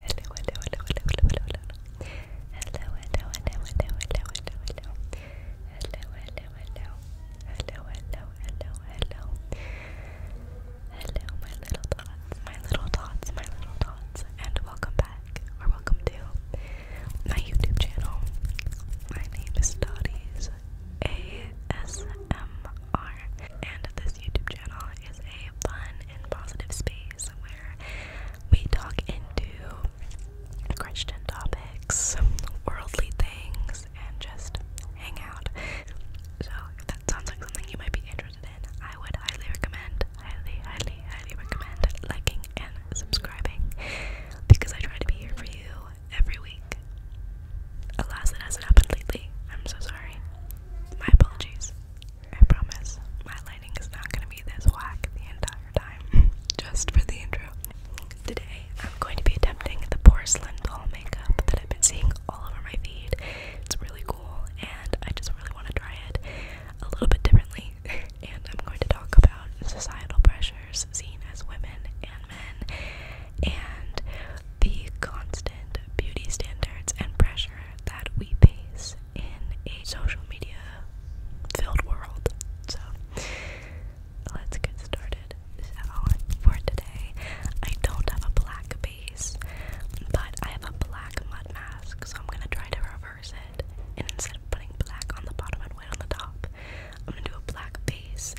Hello, hello, hello, hello, hello, hello, hello. Hello, hello, hello, hello, hello, hello, hello. Hello, hello, hello. Hello, hello, my little thoughts, my little thoughts, my little thoughts, and welcome back, or welcome to my YouTube channel. My name is Dotties ASMR, and this YouTube channel is a fun and positive space we talk into Christian topics, worldly things, and just hang out. So, if that sounds like something you might be interested in, I would highly recommend, highly, highly, highly recommend liking and subscribing because I try to be here for you every week. Alas, it hasn't happened lately. I'm so sorry. My apologies. I promise my lighting is not going to be this whack the entire time, just for the intro. Today, I'm going to be attempting the porcelain doll makeup that I've been seeing all over my feed. It's really cool, and I just really want to try it a little bit differently. and I'm going to talk about societal pressures seen as women and men, and the constant beauty standards and pressure that we face in a social media filled world. So let's get started. for today, I don't have a black base, but I have a black mud mask, so I'm gonna try to reverse it. And instead of putting black on the bottom and white on the top, I'm gonna do a black base.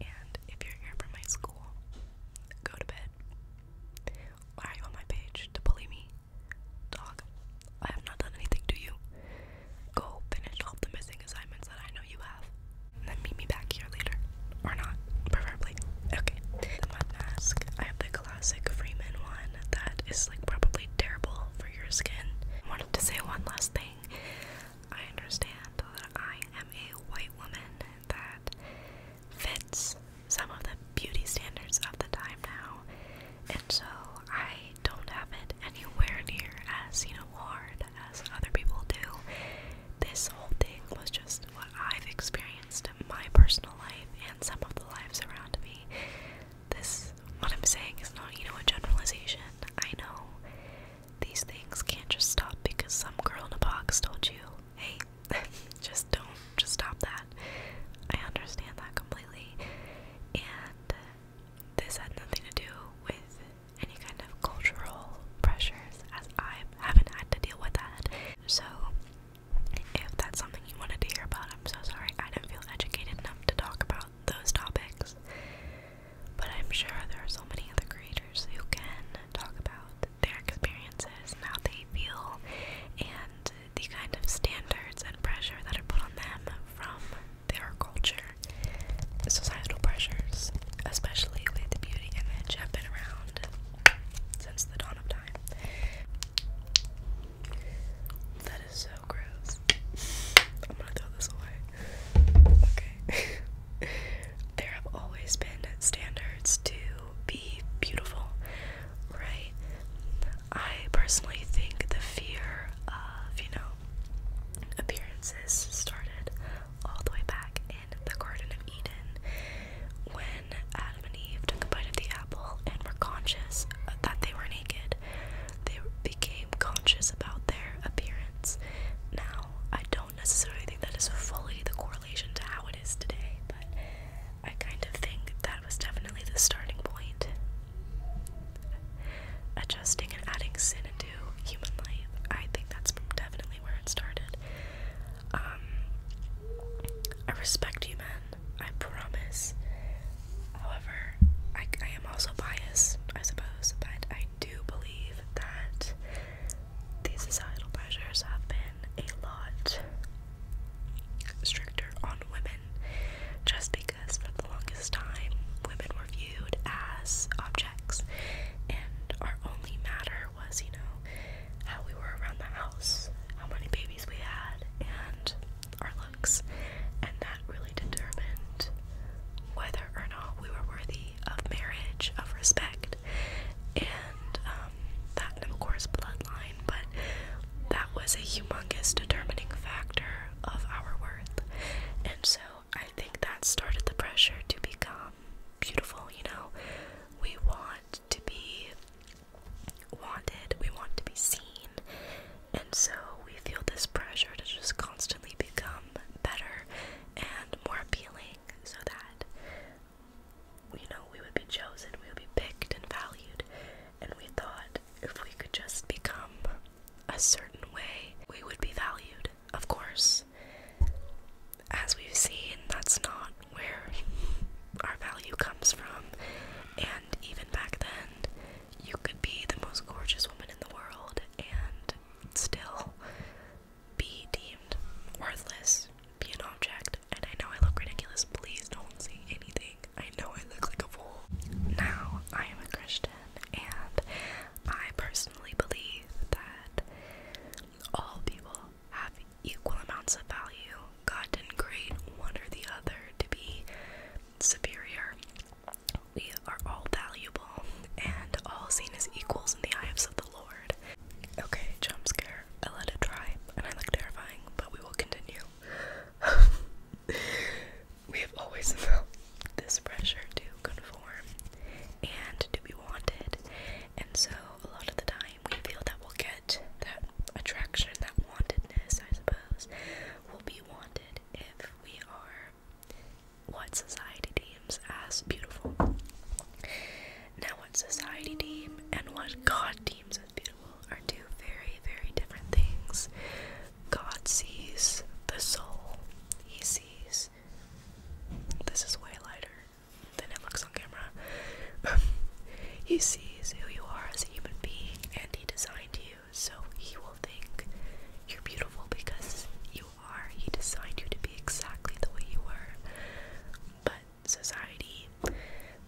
And if you're here for my school, go to bed. Why are you on my page to bully me? Dog, I have not done anything to you. Go finish all the missing assignments that I know you have. then meet me back here later. Or not, preferably. Okay. mask. I have the classic Freeman one that is like probably terrible for your skin. wanted to say one last thing. I understand that I am a white woman that fits some of the beauty standards of the time now. And so I don't have it anywhere near as, you know, hard as other people do. This whole thing was just what I've experienced in my personal life and some of the lives around me. This, what I'm saying is not, you know, a generalization. I know these things can't just stop because some girl in a box told you, hey, just don't just stop that. I understand that completely. And this had nothing to do with any kind of cultural pressures as I haven't had to deal with that. So if that's something you wanted to hear about, I'm so sorry. I didn't feel educated enough to talk about those topics. But I'm sure there are so many other creators who can talk about their experiences and how they feel and the kind of standards and pressure that are put on them from their culture. Societal pressures, especially with the beauty image, have been around since the dawn of time. That is so gross. I'm gonna throw this away. Okay. there have always been standards to be beautiful, right? I personally think the fear of, you know, appearances started all the way back in the Garden of Eden when Adam and Eve took a bite of the apple and were conscious that they were naked. They became conscious about their appearance. Now, I don't necessarily think that is fully the core to how it is today, but I kind of think that was definitely the starting point. Adjusting and adding sin into human life, I think that's definitely where it started. Um, I respect you, man. I promise. However, I am also biased, I suppose, but I do believe that these societal pressures have been a lot stricter on women just because for the longest time women were viewed as objects and our only matter was, you know, how we were around the house, how many babies we had, and our looks. And that really determined whether or not we were worthy of marriage, of respect, and um, that of course bloodline but that was a humongous determining factor of our worth and so I think that started the pressure to become beautiful you know we want to be wanted we want to be seen and so we feel this pressure to just constantly become better and more appealing so that we know, we would be chosen, we would be picked and valued, and we thought if we could just become a certain way, we would be valued. Of course, as we've seen, that's not where our value comes from. And even back then, you could be the most gorgeous woman in the world and still be deemed worthless, be an object. And I know I look ridiculous. Please don't say anything. I know I look like a fool. Now, I am a Christian, and I personally believe that all people have equal amounts of value. God didn't create one or the other to be superior. We are all valuable and all seen as equals in the eyes of the Lord. Okay, jump scare. I let it try, and I look terrifying, but we will continue. we have always felt this pressure to conform and to be wanted, and so a lot of the time we feel that we'll get that attraction, that wantedness, I suppose, will be wanted if we are what society deems as beautiful. Now, what society deem and what God deems as beautiful are two very, very different things. God sees the soul, He sees. This is way lighter than it looks on camera. he sees who you are as a human being and He designed you, so He will think you're beautiful because you are. He designed you to be exactly the way you were. But society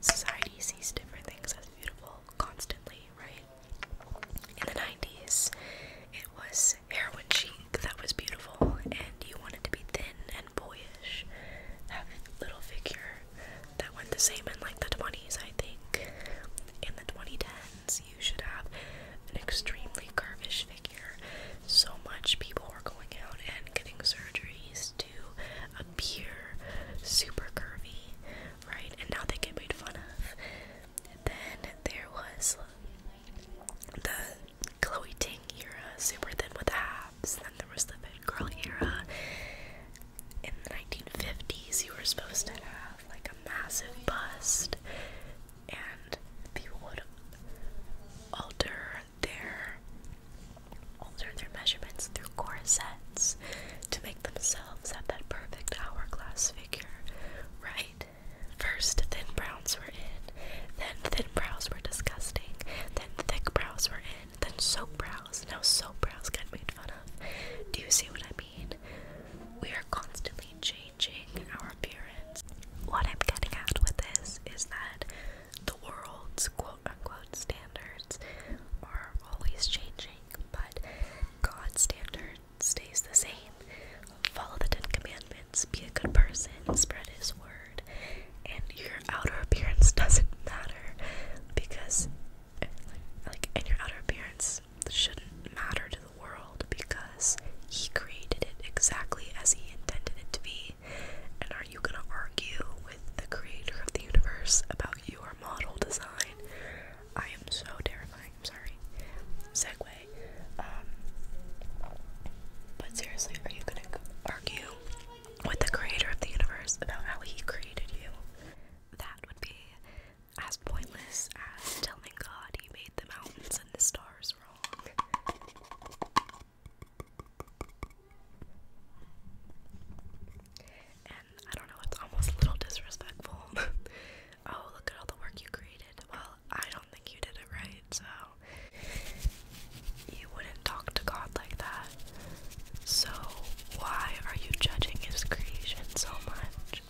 society sees different things as beautiful constantly, right? In the 90s, it was heroin cheek that was beautiful, and you wanted to be thin and boyish, have little figure. That went the same in like the 20s, I think. In the 2010s, you should have an extremely curvish figure so much people were going out and getting surgeries to appear super curvy, right? And now they get made fun of. Then there was the Chloe Ting era, super thin with abs. Then there was the fit girl era. In the 1950s, you were supposed to have like a massive bust, and people would alter their alter their measurements through corsets to make themselves have that perfect hourglass figure, right? First, thin brows were in, then thin brows were disgusting, then thick brows were in, then soap brows. Now soap brows get made fun of. Do you see what I mean? We are constantly changing our appearance. What I'm getting at with this is that the world's quote unquote standards are always changing, but God's standard stays the same. Follow the Ten Commandments, be a good person, spread His word, and your outer appearance doesn't matter because, like, and your outer appearance shouldn't matter to the world because He created it exactly as He intended it to be. And are you gonna argue with the creator of the universe about your model design? I am so terrifying, I'm sorry. Segway. Um, but seriously, are you gonna argue with the creator of the universe about how he created you? That would be as pointless as telling God he made the mountains and the stars wrong. And I don't know, it's almost a little disrespectful. oh, look at all the work you created. Well, I don't think you did it right, so you wouldn't talk to God like that. So, why are you judging his creation so much?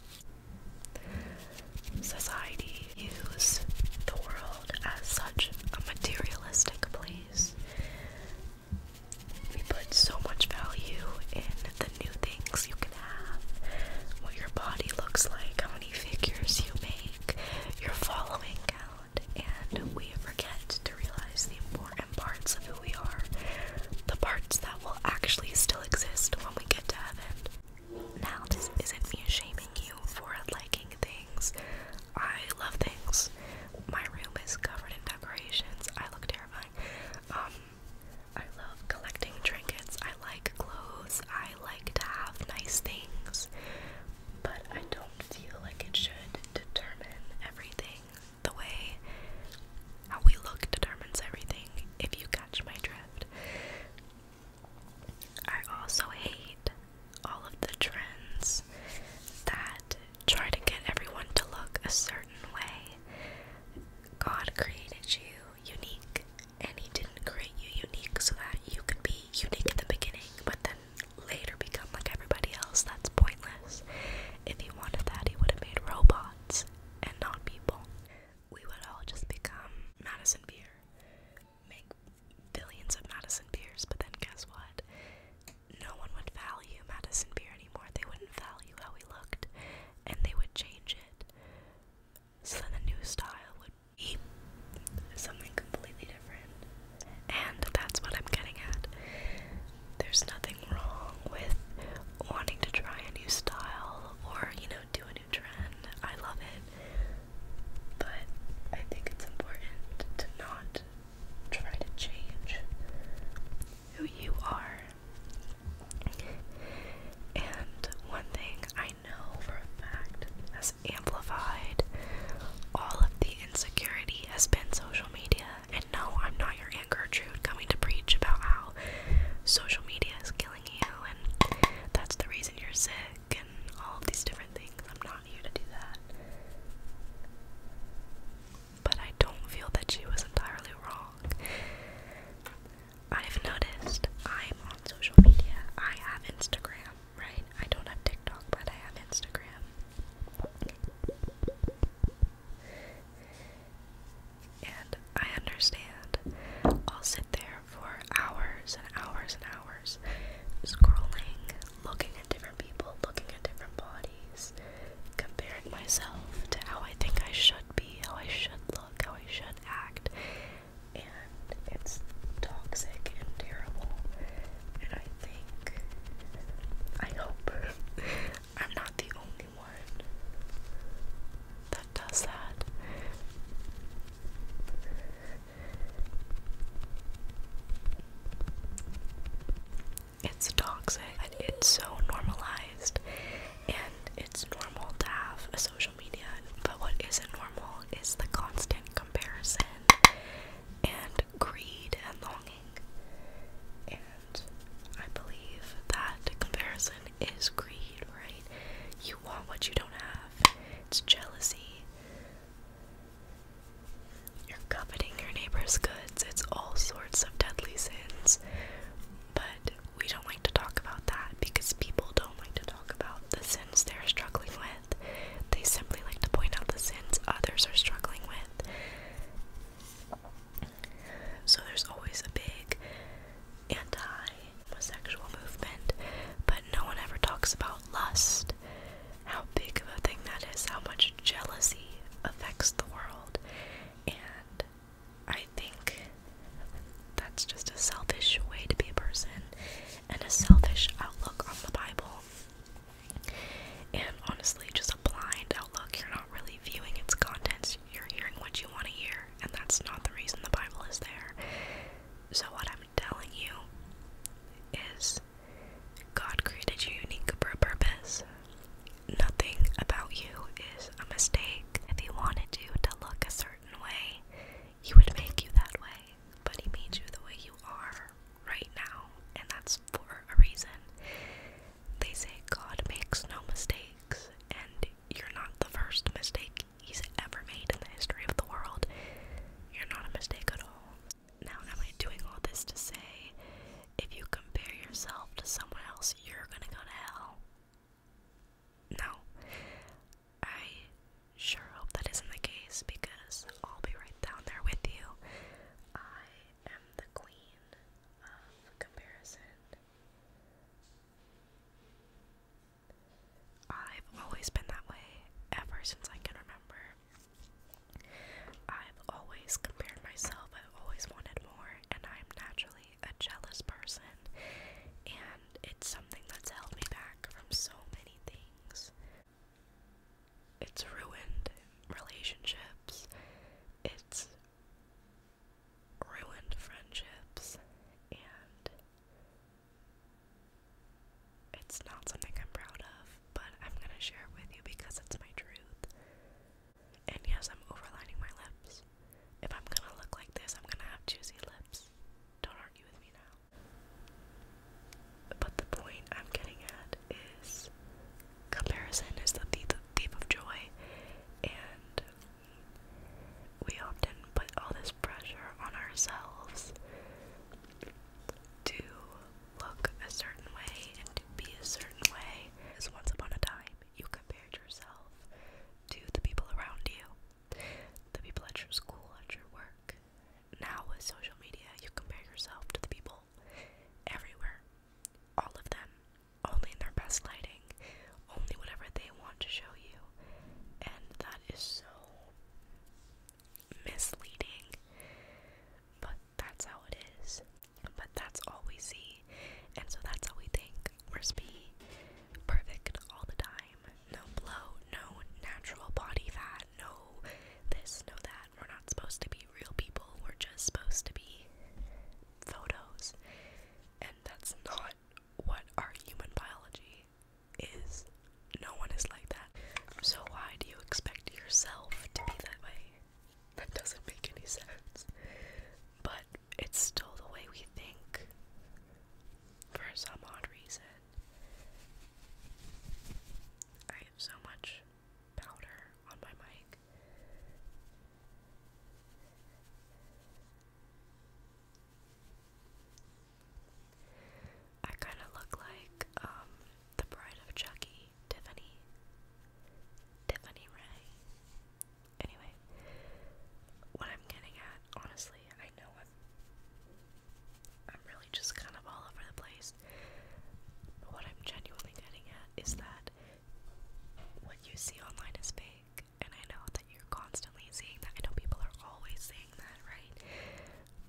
Society Use the world as such a materialistic place. We put so much value in the new things you can have, what your body looks like, how many figures you make, your following count, and we forget to realize the important parts of who we are, the parts that will actually still exist when we get to heaven. Now, this isn't me shaming you for liking things. I love things. My room is covered in decorations. I look terrifying. Um, I love collecting trinkets. I like clothes. I like to have nice things. But I don't feel like it should determine everything. The way how we look determines everything, if you catch my drift. I also hate all of the trends that try to get everyone to look a certain way. God created you unique, and He didn't create you unique so that you could be unique in the beginning, but then later become like everybody else. That's pointless. If He wanted that, He would have made robots and not people. We would all just become Madison Beer make billions of Madison beers, but then guess what? No one would value Madison beer anymore. They wouldn't value how we looked, and they would change it. So then the new style would be something completely different. And that's what I'm getting at. There's nothing wrong with wanting to try a new style or, you know, do a new trend. I love it. But I think it's important to not try to change who you are. And one thing I know for a fact has amplified all of the insecurity has been social media. And no, I'm not your Aunt Gertrude coming to preach about how social media is killing you and that's the reason you're sick all these different things. I'm not here to do that. But I don't feel that she was entirely wrong. I've noticed I'm on social media. I have Instagram, right? I don't have TikTok, but I have Instagram. And I understand. I'll sit there for hours and hours and hours, scrolling, looking at different people, looking at different bodies, comparing myself to how I think I should be, how I should look, how I should act, and it's toxic and terrible. And I think, I hope, I'm not the only one that does that. It's toxic, and it's so normalized, and it's normal to have a social media. But what isn't normal is the constant comparison and greed and longing. And I believe that comparison is greed, right? You want what you don't have, it's jealousy, you're coveting your neighbor's goods. It's all sorts of deadly sins. But we don't like to talk about that because people don't like to talk about the sins they're struggling with. They simply like to point out the sins others are struggling with. So there's always a big anti homosexual movement, but no one ever talks about lust, how big of a thing that is, how much jealousy affects the world. And I think that's just a selfish way to be a person and a selfish outlook on the Bible. And honestly, just a blind outlook. You're not really viewing its contents, you're hearing what you want to hear, and that's not the reason the Bible is there. So, what I'm telling you is God created you unique for a purpose. Nothing about you is a mistake. If He wanted you to look a certain way, He would make you that way. But He made you the way you are right now, and that's for a reason. They say God makes no mistakes, and you're not the first mistake he's ever made in the history of the world. You're not a mistake at all. Now, am I doing all this to say if you compare yourself to someone else, you're gonna go to hell? No. I sure hope that isn't the case because I'll be right down there with you. I am the queen of comparison. I've always been that way ever since I can remember. I've always compared myself, I've always wanted more, and I'm naturally a jealous person, and it's something that's held me back from so many things. It's ruined relationships, it's ruined friendships, and it's not something I'm proud of, but I'm gonna share it with you because it's my truth. And yes, I'm overlining my lips. If I'm gonna look like this, I'm gonna have juicy lips. Don't argue with me now. But the point I'm getting at is comparison is the thief of joy, and we often put all this pressure on ourselves to look a certain way and to be a certain way. Because once upon a time, you compared yourself to the people around you, the people at your school, at your work. Now, with social media, you compare yourself to the people everywhere, all of them, only in their best lighting, only whatever they want to show you. And that is so misleading, but that's how it is. But that's all we see, and so that's how we think. We're to be perfect all the time. No blow, no natural body fat, no this, no that. We're not supposed to be real people, we're just supposed to be photos. And that's not what our human biology is no one is like that. So why do you expect yourself to be that way? That doesn't make any sense. But it's still the way we think for some odd reason. I have so much powder on my mic. I kind of look like um, the bride of Chucky, Tiffany. Tiffany Ray. Anyway, what I'm getting at, honestly, I know I'm really just kind of all over the place. But what I'm genuinely getting at is that what you see online is fake, and I know you're constantly seeing that. I know people are always saying that, right?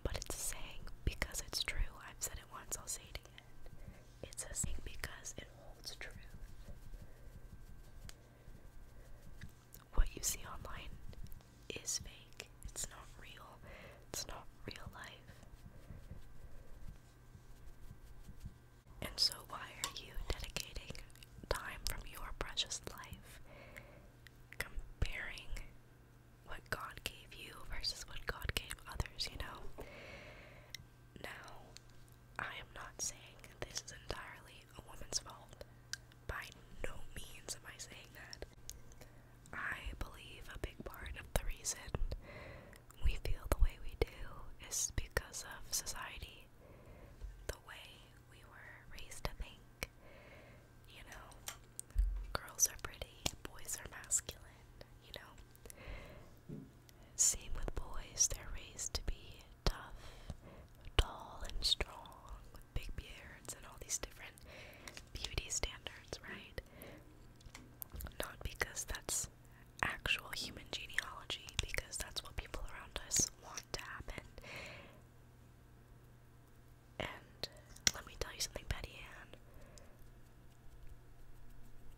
But it's a saying because it's true. I've said it once, I'll say it again. It's a saying because it holds truth. What you see online is fake. It's not real. It's not real life. And so, why are you dedicating time from your precious life comparing what God gave you versus what God gave others, you know? Now, I am not saying this is entirely a woman's fault. By no means am I saying that. I believe a big part of the reason we feel the way we do is because of society, the way we were raised to think, you know, girls are pretty, boys are masculine, you know. Same with boys, they're raised to be tough, tall, and strong, with big beards, and all these different beauty standards, right? Not because that's actual human genealogy, because that's what people around us want to happen. And let me tell you something, Betty Ann.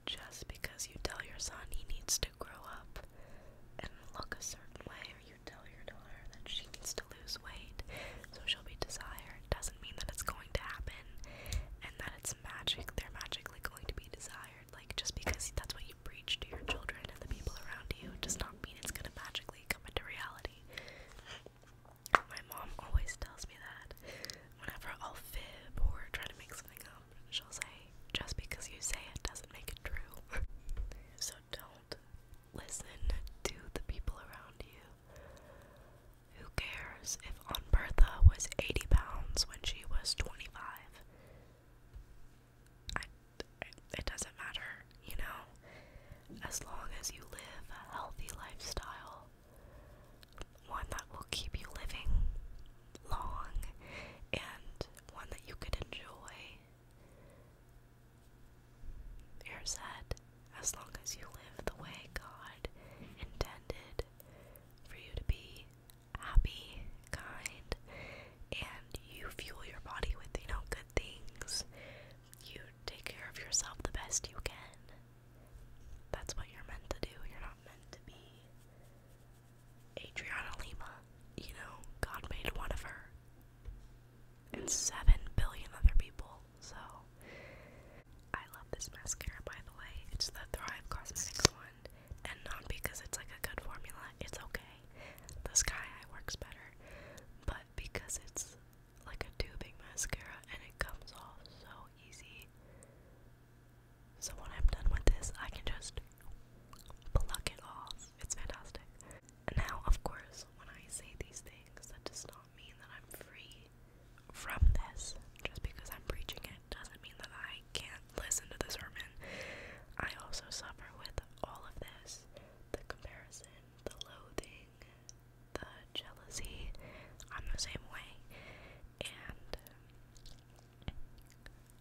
Just because you tell your son he needs to grow up and look a certain way, or you tell your daughter that she needs to lose weight so she'll be desired, doesn't mean that it's going to happen and that it's magic. They're magically going to be desired. Like, just because that's what you preach to your children and the people around you does not mean it's going to magically come into reality body. My mom always tells me that whenever I'll fib or try to make something up, she'll say, just because you say it doesn't make it true. so don't listen to the people around you. Who cares if Aunt Bertha was 80 pounds when she was 25? it doesn't matter, you know? As long as you live a healthy lifestyle, one that will keep you living long and one that you could enjoy. You're as long as you live the way God intended for you to be happy, kind, and you fuel your body with, you know, good things, you take care of yourself the best you can. That's what you're meant to do. You're not meant to be Adriana Lima. You know, God made one of her and seven billion other people. So, I love this mascara by the way. It's the Thrive Cosmetics one, and not because it's like a good formula, it's okay. The Sky Eye works better but because it's like a tubing mascara and it comes off so easy. So when I'm done with this, I can just pluck it off. It's fantastic. now, of course, when I say these things, that does not mean that I'm free from this. Just because I'm preaching it doesn't mean that I can't listen to the sermon. I also suffer with all of this the comparison the loathing, the jealousy. I'm the same way. And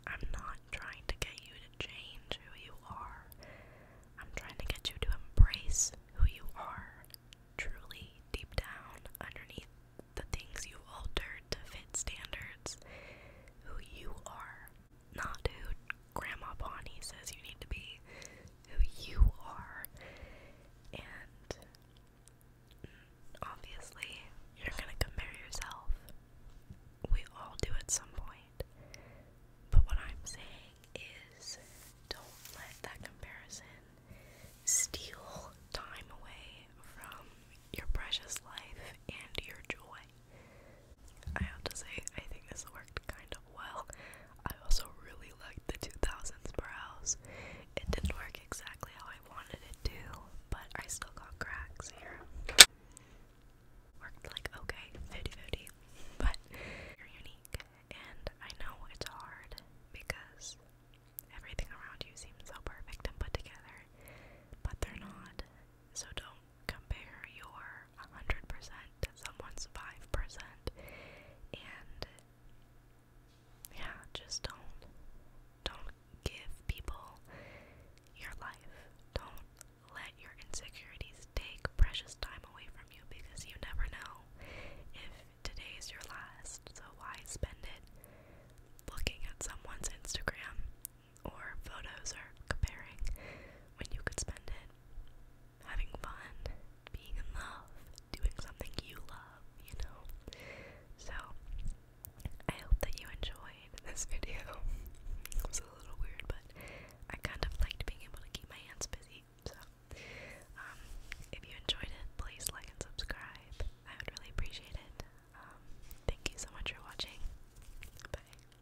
I'm not trying to get you to change who you are. I'm trying to get you to embrace who you are truly deep down underneath the things you have altered to fit standards. Who you are. Nah, Grandma Bonnie says you need to be who you are. And obviously, you're gonna compare yourself. We all do at some point. But what I'm saying is don't let that comparison steal time away from your precious life and your joy. I have to say, I think this worked kind of well. I also really liked the 2000s brows. It didn't work exactly how I wanted it to, but I still got cracks here. Worked like okay, 50 but you're unique. And I know it's hard because everything around you seems so perfect and put together, but they're not. So don't compare your 100% to someone's 5%. And yeah, just don't don't give people your life. Don't let your insecurities take precious time away from you because you never know if today is your last. So why spend it looking at someone's Instagram or photos are comparing when you could spend it having fun, being in love, doing something you love, you know? So, I hope that you enjoyed this video. it was a little weird, but I kind of liked being able to keep my hands busy, so. Um, if you enjoyed it, please like and subscribe. I would really appreciate it. Um, thank you so much for watching. Bye.